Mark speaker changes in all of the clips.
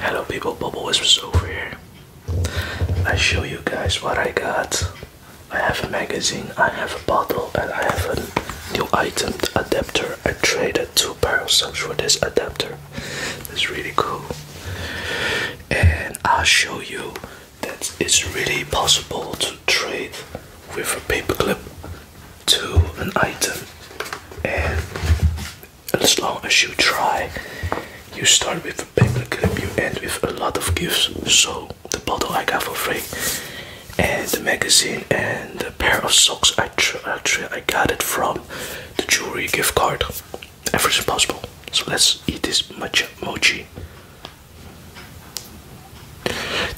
Speaker 1: Hello people, Bubble Whispers over here. I show you guys what I got. I have a magazine, I have a bottle, and I have a new item adapter. I traded two barrel subs for this adapter. It's really cool. And i show you that it's really possible to trade with a paperclip to an item. And as long as you try, you start with a paper clip, you end with a lot of gifts. So, the bottle I got for free, and the magazine, and the pair of socks I actually I got it from the jewelry gift card. Everything possible. So, let's eat this matcha mochi.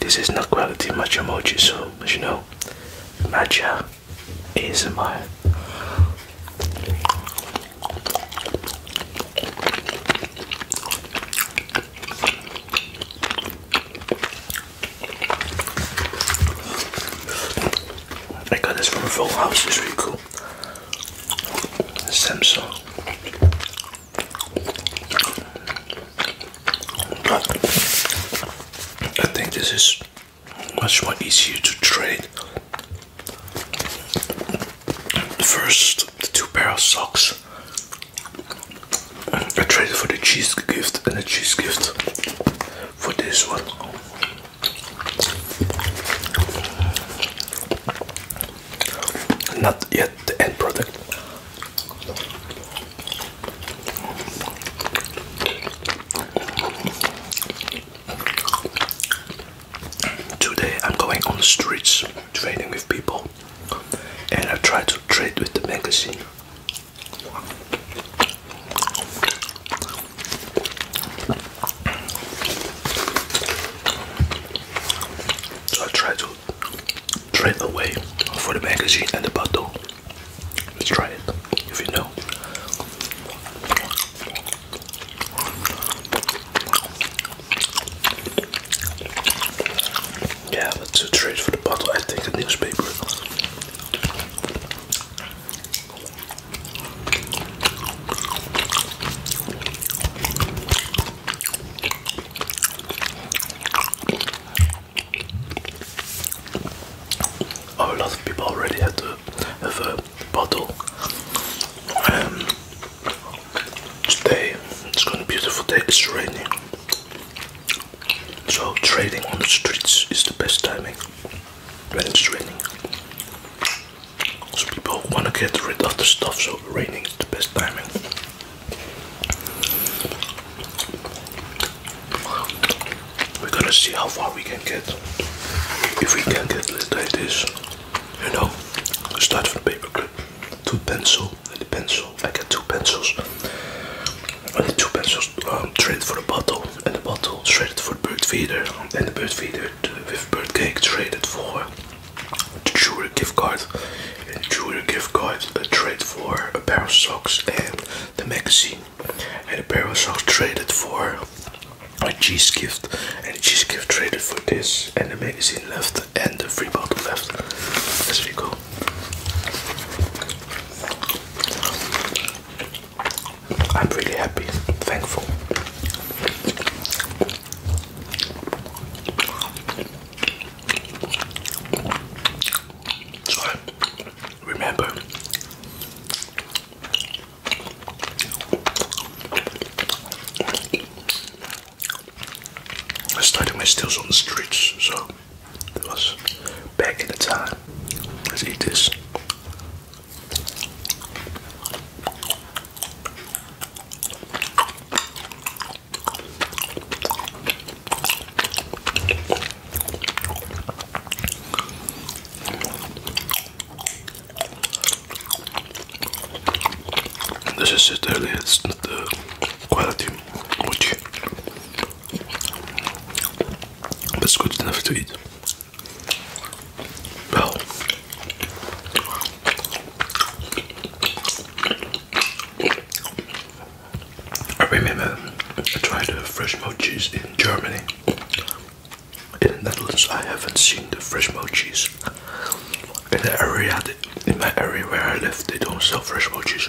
Speaker 1: This is not quality matcha mochi, so you know, channel, is ASMR. I got this from Full House, it's really cool. Samsung. I think this is much more easier to trade. The first, the two pair of socks. I traded for the cheese gift and the cheese gift for this one. Not yet the end product. Today I'm going on the streets trading with people and I try to trade with the magazine. So I try to straight away for the magazine and the bottle. Let's try it if you know. Yeah, let's trade for the bottle. I take the newspaper a oh, lot of people already have a bottle. Um, today it's gonna be a beautiful day. It's raining, so trading on the streets is the best timing when it's raining. So people want to get rid of the stuff, so raining is the best timing. We're gonna see how far we can get. If we can get, let's like this, you know, start from the paperclip to the pencil, and the pencil, I get two pencils, and the two pencils um, straight for the bottle, and the bottle straight for the bird feeder, and the bird feeder with Birdcake traded for a jewelry gift card. And the jewelry gift card traded for a pair of socks and the magazine. And a pair of socks traded for a cheese gift. And cheese gift traded for this. And the magazine left and the free bottle left. That's really cool. I'm really happy, thankful. So remember I started my stills on the streets, so that was back in the time. Let's eat this. This is just the quality which but it's good enough to eat. I remember I tried the fresh mochis in Germany. In the Netherlands, I haven't seen the fresh mochis. In the area, in my area where I live, they don't sell fresh mochis.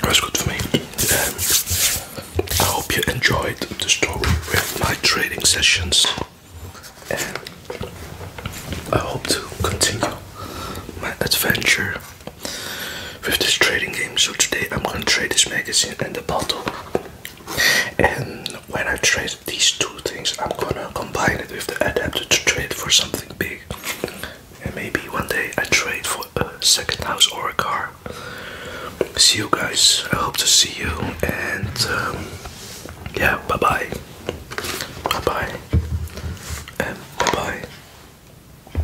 Speaker 1: That's good for me. I hope you enjoyed the story with my trading sessions, and I hope to continue my adventure with this trading game. So today I'm going to trade this magazine and the bottle, and when I trade these two things, I'm gonna combine it with the adapter to trade for something big. And maybe one day I trade for a second house or a car. See you guys. I hope to see you. And um, yeah, bye bye. Bye bye. And bye bye.